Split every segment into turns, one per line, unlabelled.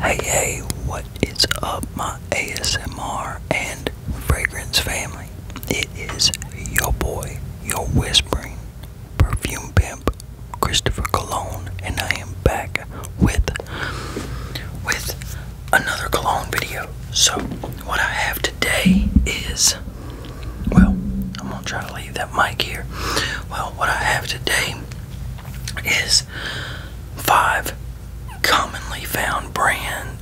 Hey, hey, what is up, my ASMR and fragrance family? It is your boy, your whispering perfume pimp, Christopher Cologne, and I am back with with another cologne video. So, what I have today is well, I'm gonna try to leave that mic here. Well, what I have today is five
commonly found brand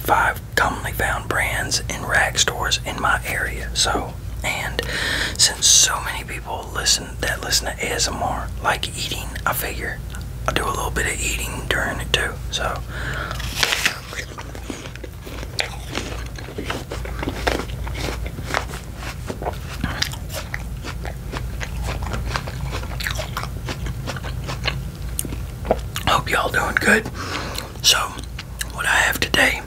five commonly found brands
in rag stores in my area. So and since so many people listen that listen to ASMR like eating, I figure I do a little bit of eating during it too. So Hope y'all doing good. So, what I have today,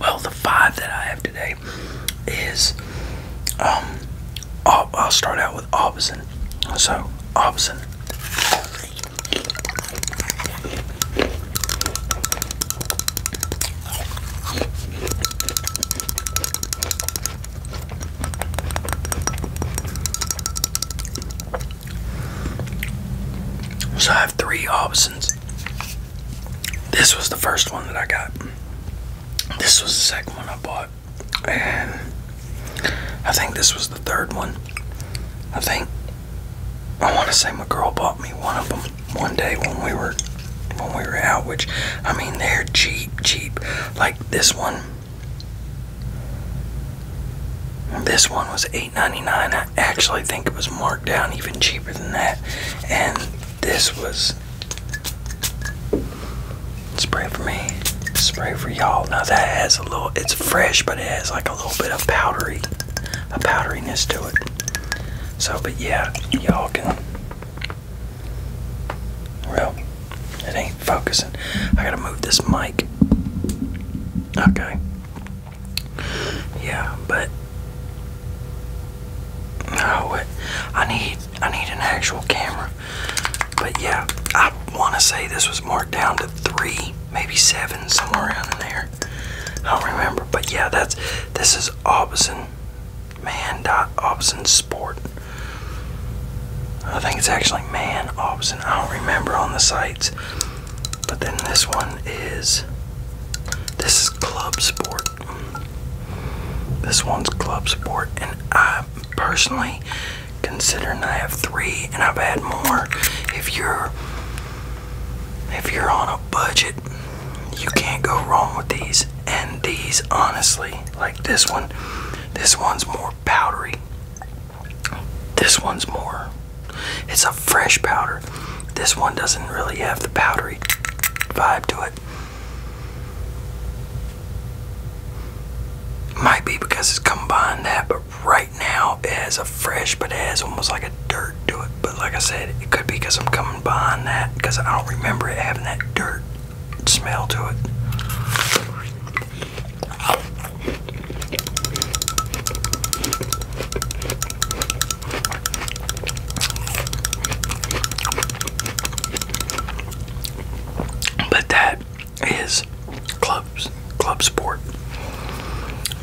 well, the five that I have today is, um, I'll, start out with Aubison. So, Aubison. So I have three options. This was the first one that I got. This was the second one I bought. And I think this was the third one. I think I want to say my girl bought me one of them one day when we were when we were out, which I mean they're cheap, cheap. Like this one.
This one was eight ninety nine. I actually think it was marked
down even cheaper than that. And this was spray for me. Spray for y'all. Now that has a little
it's fresh but it has like a little bit of powdery a powderiness to it. So, but yeah,
y'all can. Well, it ain't focusing. I gotta move this mic. Okay. Yeah, but no, I need I need an actual camera. But yeah, I want to say this was marked down to three, maybe seven, somewhere around in there. I don't remember. But yeah, that's this is is Aubison. Man. Aubison Sport. I think it's actually Man Aubison. I don't remember on the sites. But then this one is. This is Club Sport. This one's Club Sport. And I personally, considering I have three and I've had more, if you're if you're on a budget, you can't go wrong with these. And these, honestly, like this one, this one's more powdery. This one's more, it's a fresh powder. This one doesn't really have the powdery vibe to it. Might be because it's combined that, but right now it has a fresh, but it has almost like a dirt to it. But like I said, it could be because I'm coming behind that because I don't remember it having that dirt smell to it. But that is clubs, club sport.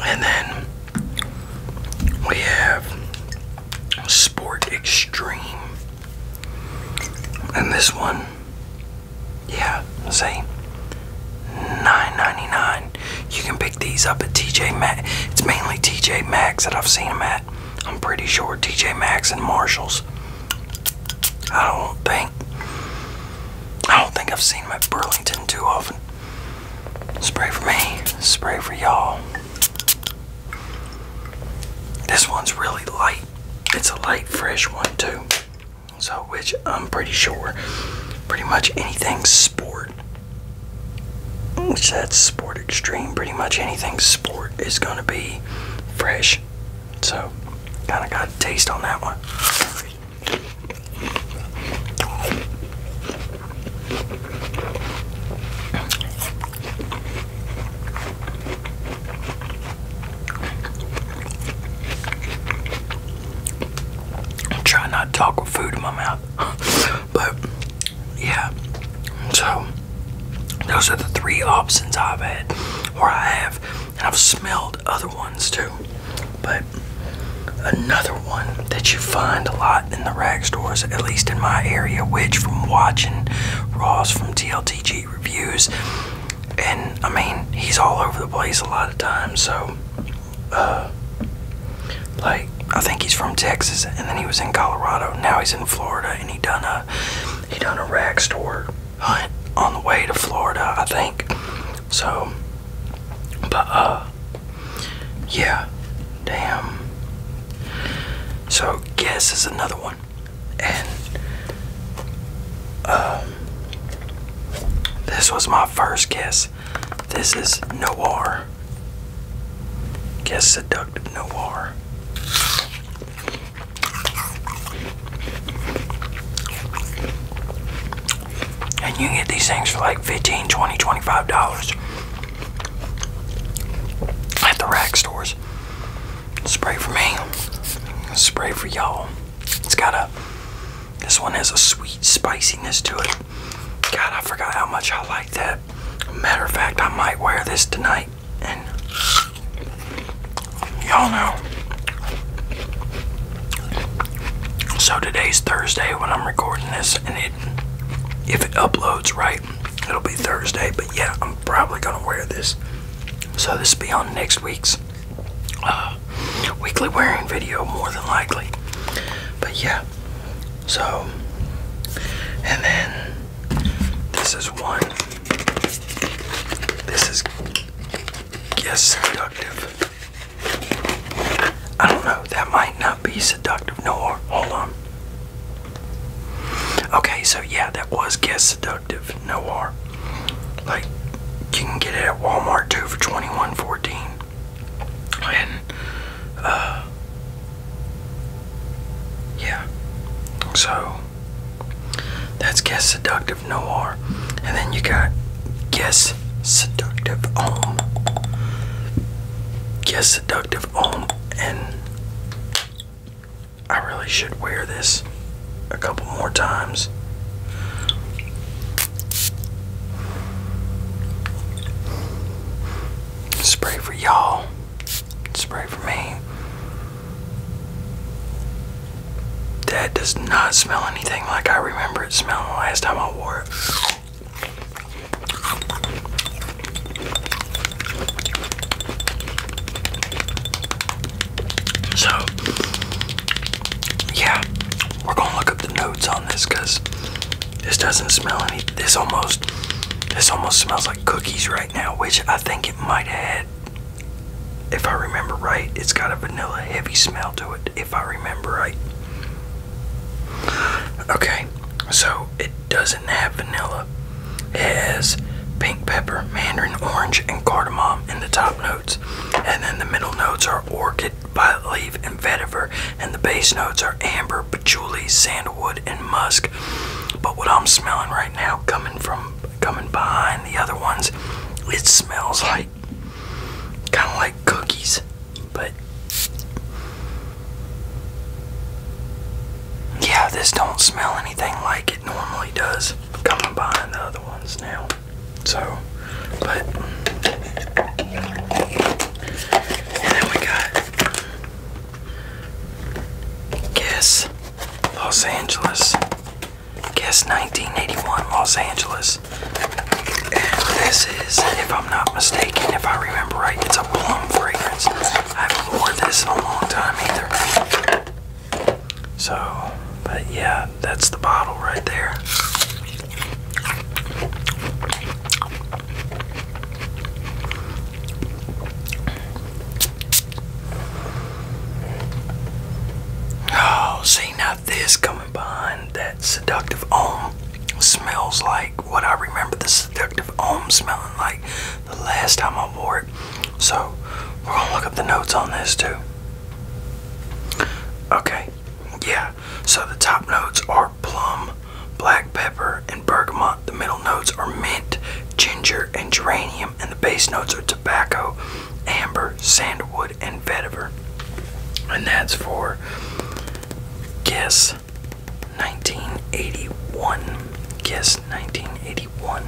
And then we have Sport Extreme. And this one, yeah, same. 9 You can pick these up at TJ Max.
It's mainly TJ Max that I've seen them at. I'm pretty sure TJ Max and Marshalls. I don't
think. I don't think I've seen them at Burlington too often. Spray for me, spray for y'all. This one's really light. It's a light, fresh one, too. So, which I'm pretty sure pretty much anything sport, which that's sport extreme, pretty much anything sport is going to be fresh. So, kind of got a taste on that one. I try not to talk with food in my mouth, but yeah. So
those are the three options I've had, or I have, and I've smelled other
ones too. But another one that you find a lot in the rag stores, at least in my area, which from watching Ross from TLTG reviews, and I mean, he's all over the place a lot of times, so uh, like I think he's from Texas and then he was in Colorado. Now he's in Florida and he done a he done a rag store hunt on the way to Florida, I think. So but uh yeah, damn. So, Guess is another one. And, um, this was my first guess. This is Noir. Guess Seductive Noir. And you can get these things for like 15 20 $25 at the rack stores. Spray for me. Spray for y'all. It's got a, this one has a sweet spiciness to it. God, I forgot how much I like that. Matter of fact, I might wear this tonight. And y'all know so today's Thursday when I'm recording this, and it if it uploads right, it'll be Thursday. But yeah, I'm probably gonna wear this. So this will be on next week's uh, weekly wearing video, more than likely. But yeah, so and then this is one. This is guess seductive. I don't know, that might not be seductive. No, hold on. Okay, so yeah, that was Guess Seductive Noir. Like, you can get it at Walmart too for $21.14. Uh, yeah. So, that's Guess Seductive Noir. And then you got Guess Seductive Ohm. Guess Seductive Ohm. And I really should wear this a couple more times. Spray for y'all. Spray for me. That does not smell anything like I remember remember smelling the last time I wore it. So, yeah, we're gonna look up the notes on this because this doesn't smell any. This almost, this almost smells like cookies right now, which I think it might have had. If I remember right, it's got a vanilla heavy smell to it if I remember right. Okay, so it doesn't have vanilla. It has pink pepper, mandarin orange, and cardamom in the top notes. And then the middle notes are orchid, violet leaf, and vetiver. And the base notes are amber, patchouli, sandalwood, and musk. But what I'm smelling right now, coming from coming
behind the other ones, it smells like kind of like cookies,
but yeah, this don't smell anything like it normally does. Coming behind the other ones now, so but and then we got Guess Los Angeles guess 1981 Los Angeles. And this is, if I'm not mistaken, if I remember right, it's a plum fragrance. I haven't worn this in a long time either. So, but yeah, that's the bottle right there.
Oh, see now this coming behind that seductive om smells like what I remember the seductive
om smelling like the last time I wore it. So we're gonna look up the notes on this too. Okay, yeah. So the top notes are plum, black pepper, and bergamot. The middle notes are mint, ginger, and geranium, and the base notes are tobacco, amber, sandalwood and vetiver. And that's for guess 1981. Guess 1981.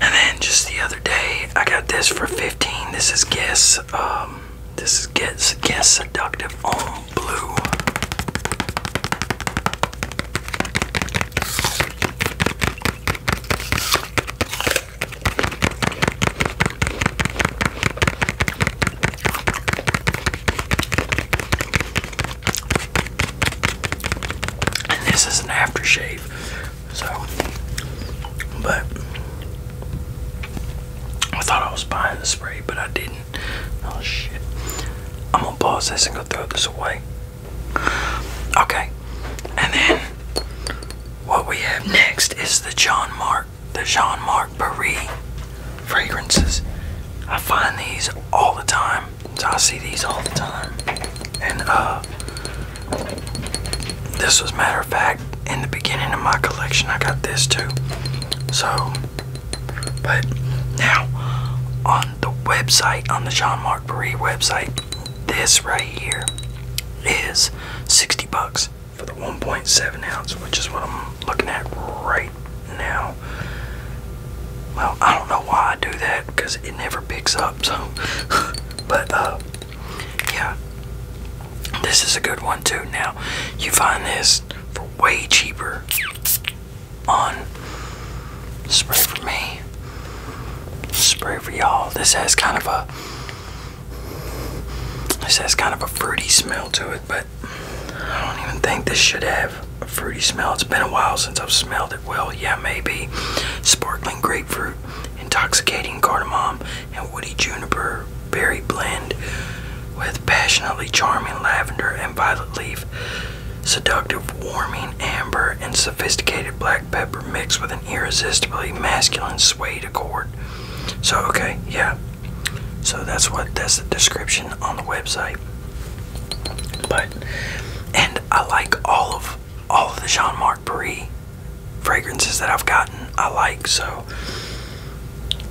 And then just the other day, I got this for 15. This is Guess. Um, this is Guess Guess Seductive on Blue. And this is an aftershave, so but I thought I was buying the spray, but I didn't. Oh shit. I'm gonna pause this and go throw this away. Okay, and then what we have next is the Jean Marc, the Jean Marc Paris fragrances. I find these all the time, I see these all the time. And uh, this was matter of fact in the beginning of my collection. I got this too. So, but now on the website, on the Jean Marc Paris website, this right here is 60 bucks for the 1.7 ounce, which is what I'm looking at right now. Well, I don't know why I do that because it never picks up. So, but uh, yeah, this is a good one too. Now, you find this for way cheaper on Spray for me. Spray for y'all. This has kind of a this has kind of a fruity smell to it, but I don't even think this should have a fruity smell. It's been a while since I've smelled it. Well, yeah, maybe. Sparkling grapefruit, intoxicating cardamom, and woody juniper berry blend with passionately charming lavender and violet leaf seductive, warming amber, and sophisticated black pepper mixed with an irresistibly masculine suede accord. So, okay, yeah. So that's what that's the description on the website. But and I like all of all of the Jean Marc Paris fragrances that I've gotten. I like so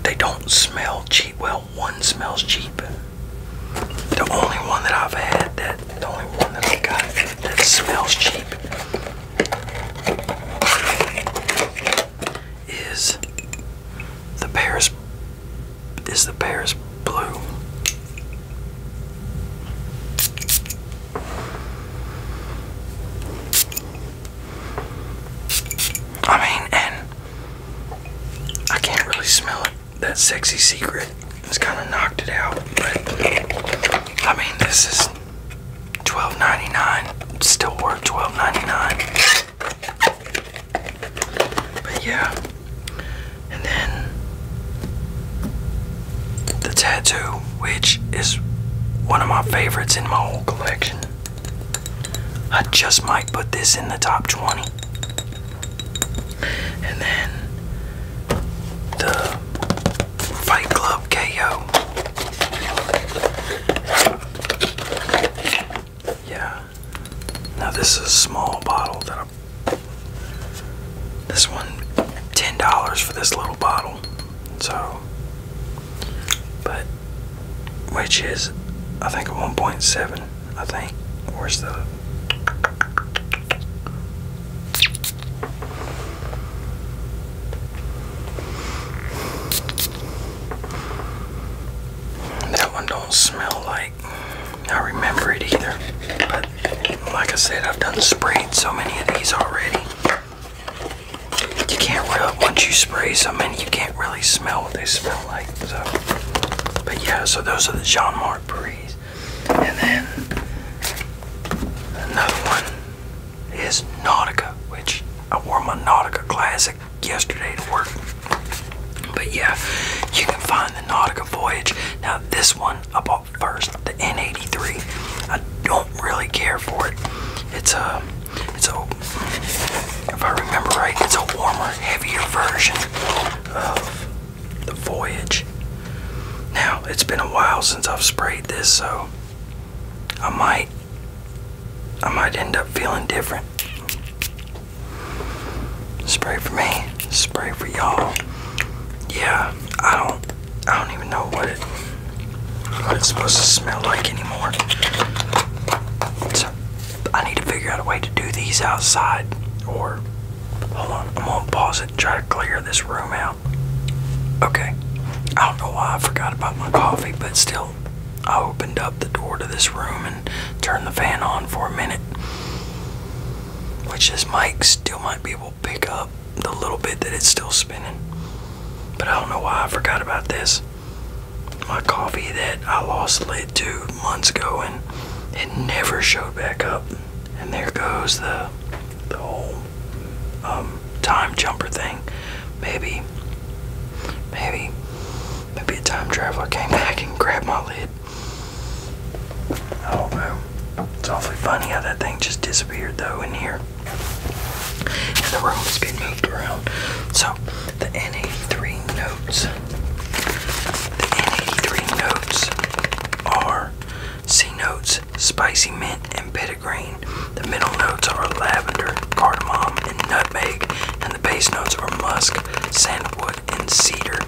they don't smell cheap. Well, one smells cheap. The only one that I've had that the only one that I got that smells cheap is the Paris is the Paris blue. I mean, and I can't really smell it that sexy secret has kind of knocked it out. But I mean, this is $12.99. still worth $12.99. But yeah, and then the tattoo, which is one of my favorites in my whole collection. I just might put this in the top 20. And then the Fight Club KO. Yeah. Now this is a small bottle that this one $10 for this little bottle. So but which is I think a 1.7 I think. Where's the. That one don't smell like I remember it either. But like I said, I've done sprayed so many of these already. You can't really, once you spray so many, you can't really smell what they smell like. So, but yeah, so those are the Jean Marc Breeze. And then another one is Nautica, which I wore my Nautica
Classic yesterday to work. But yeah, you can find the Nautica Voyage.
Now this one I bought first, the N83. I don't really care for it. It's a, it's a, if I remember right, it's a warmer, heavier version of the Voyage. Now, it's been a while since I've sprayed this, so I might I might end up feeling different. Spray for me, spray for y'all. Yeah, I don't I don't even know what it's supposed to smell like anymore. So I need to figure out a way to do these outside or Hold on, I'm gonna pause it, try to clear this room out. Okay, I don't know why I forgot about my coffee, but still, I opened up the door to this room and turned the fan on for a minute. Which this mic still might be able to pick up the little bit that it's still spinning. But I don't know why I forgot about this. My coffee that I lost lid to months ago and it never showed back up. And there goes the the whole um, time jumper thing. Maybe, maybe, maybe a time traveler came back and grabbed my lid. Oh man, It's awfully funny how that thing just disappeared though in here. And the room's been moved around. So the NA3 notes the N83 notes are C notes, spicy mint, and petitgrain. The middle notes are lavender, cardamom, and nutmeg, and the base notes are musk,
sandalwood, and cedar.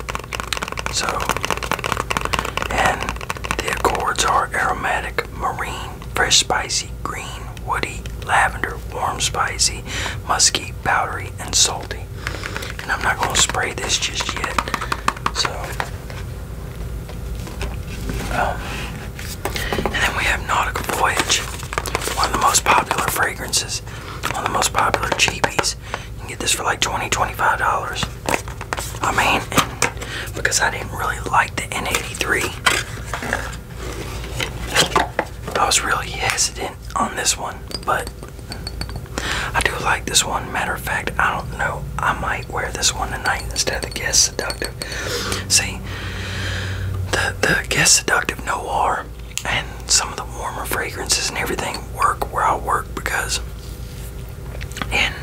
So, and the accords are aromatic,
marine, fresh, spicy, green, woody, lavender, warm, spicy, musky, powdery, and salty. And I'm not gonna spray this just yet. So um, and then we have Nautical Voyage, one of the most popular fragrances, one of the most popular cheapies. You can get this for like 20 25 dollars. I mean, because I didn't really like the N83, I was really hesitant on this one, but I do like this one. Matter of fact, I don't know. I might wear this one tonight instead of the guest Seductive. See, the the Guess Seductive Noir and some of the warmer fragrances and everything work where I work because in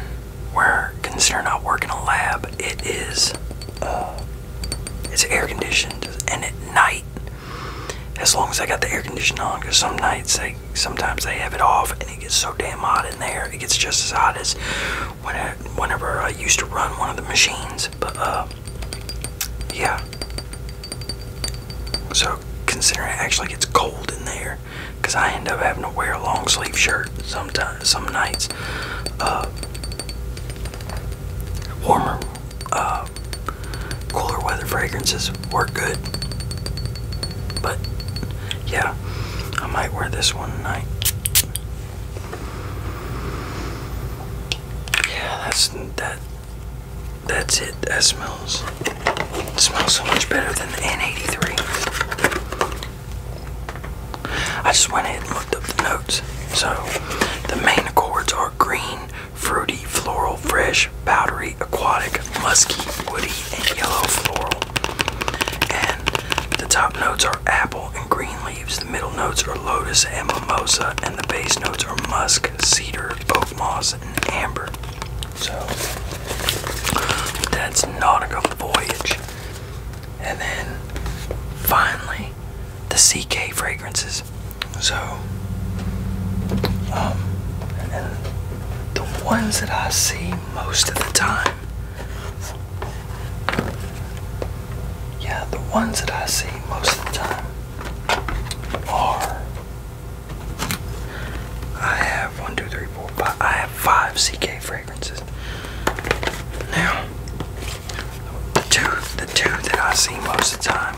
where considering I work in a lab, it is uh, it's air conditioned and at night as long as I got the air conditioner on. Because some nights they sometimes they have it off, and it gets so damn hot in there. It gets just as hot as when whenever I used to run one of the machines. But uh, yeah. So considering actually gets cold in there, because I end up having to wear a long sleeve shirt sometimes, some nights. Uh, warmer uh, cooler weather fragrances work good. But yeah, I might wear this one tonight. Yeah, that's that. That's it. That smells. smells so much better than the N83. I just went ahead and looked up the notes. So
the main accords are green, fruity, floral, fresh, powdery, aquatic,
musky, woody, and yellow floral. And the top notes are apple and green leaves. The middle notes are lotus and mimosa, and the base notes are musk, cedar, oak moss, and amber. So that's Nautical Voyage. And then finally, the CK fragrances so, um, the ones that I see most of the time, yeah, the ones that I see most of the time are I have one, two, three, four, five, I have five CK fragrances. Now, the two, the two that I see most of the time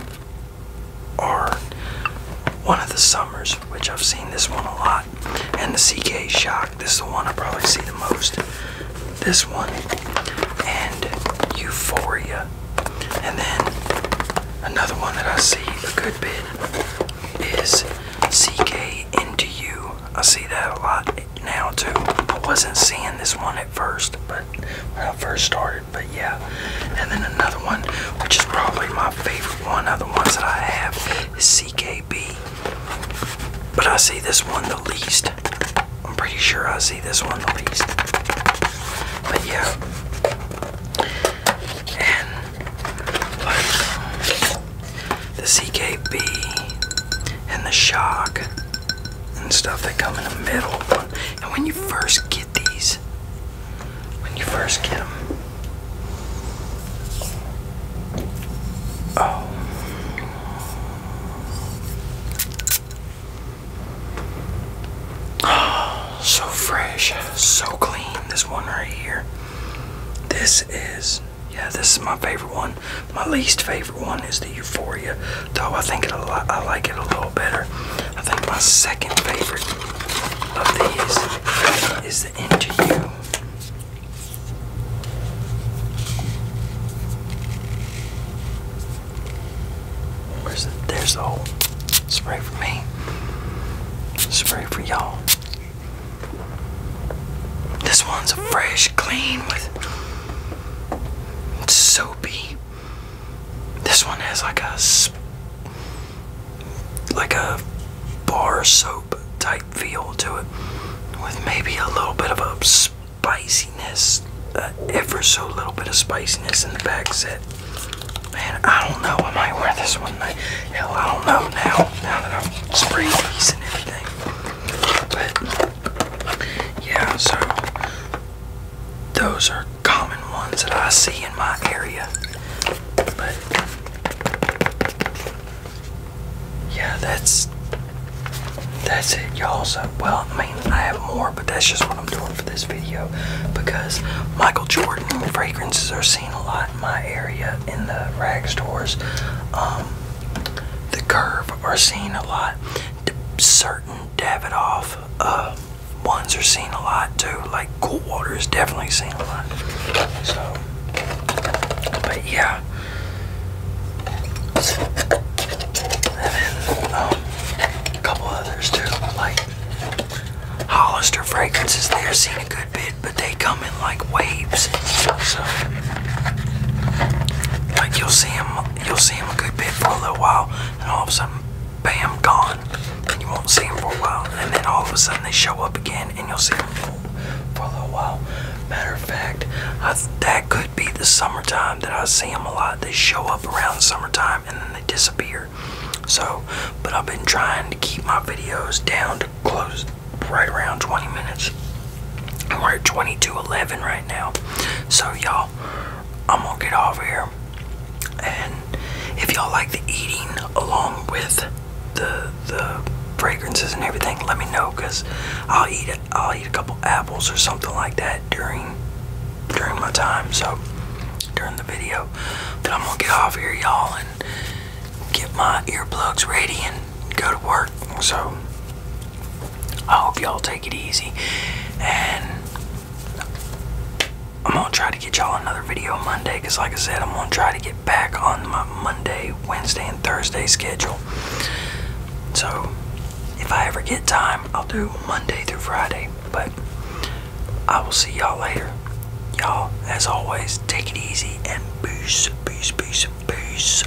or one of the summers, which I've seen this one a lot. And the CK Shock, this is the one I probably see the most. This one, and Euphoria. And then another one that I see a good bit is CK Into You. I see that a lot now too. I wasn't seeing this one at first, but when I first started, but yeah. And then another one, which is probably my favorite one of the ones that I have, is CKB. But I see this one the least. I'm pretty sure I see this one the least. But yeah. And the CKB and the shock and stuff. that come in the middle. And when you first get these, when you first get them, oh. Oh, so fresh, so clean. This one right here. This is, yeah, this is my favorite one. My least favorite one is to Euphoria, though I think it a lot, I like it a little better. I think my second favorite of these is the Into You. Where's the, there's the whole spray for me, spray for y'all. This one's a fresh, clean with soapy this one has like a like a bar soap type feel to it, with maybe a little bit of a spiciness, uh, ever so little bit of spiciness in the back set. Man, I don't know. I might wear this one night. Hell, I don't know now. Now that i am spraying these and everything, but yeah. So those are common ones that I see in my area. But
yeah, that's that's it, y'all. So, well, I mean, I have more, but that's
just what I'm doing for this video because Michael Jordan fragrances are seen a lot in my area in the rag stores. Um, the Curve are seen a lot certain Davidoff uh, ones are seen a lot too. Like Cool Water is definitely seen a lot. So, but yeah. Um, a couple others too, like Hollister fragrances. They are seen a good bit, but they come in like waves. So, like you'll see them you'll see him a good bit for a little while, and all of a sudden, bam, gone. And you won't see him for a while, and then all of a sudden they show up again, and you'll see them for, a little while. Matter of fact, that could be the summertime that I see them a lot. They show up around summertime, and then they disappear. So, but I've been trying to keep my videos down to close right around 20 minutes. And we're at 22:11 right now. So y'all I'm gonna get off here. And if y'all like the eating along with the the fragrances and everything, let me know because I'll eat it. I'll eat a couple apples or something like that during during my time. So during the video, but I'm gonna get off here, y'all, and get my earplugs ready and go to work. So
I hope y'all take it easy, and I'm gonna try to get y'all another video Monday because,
like I said, I'm gonna try to get back on my Monday, Wednesday, and Thursday schedule. So, if I ever get time, I'll do Monday through Friday, but I will see y'all later. Y'all, as always, take it easy and peace, peace, peace, peace.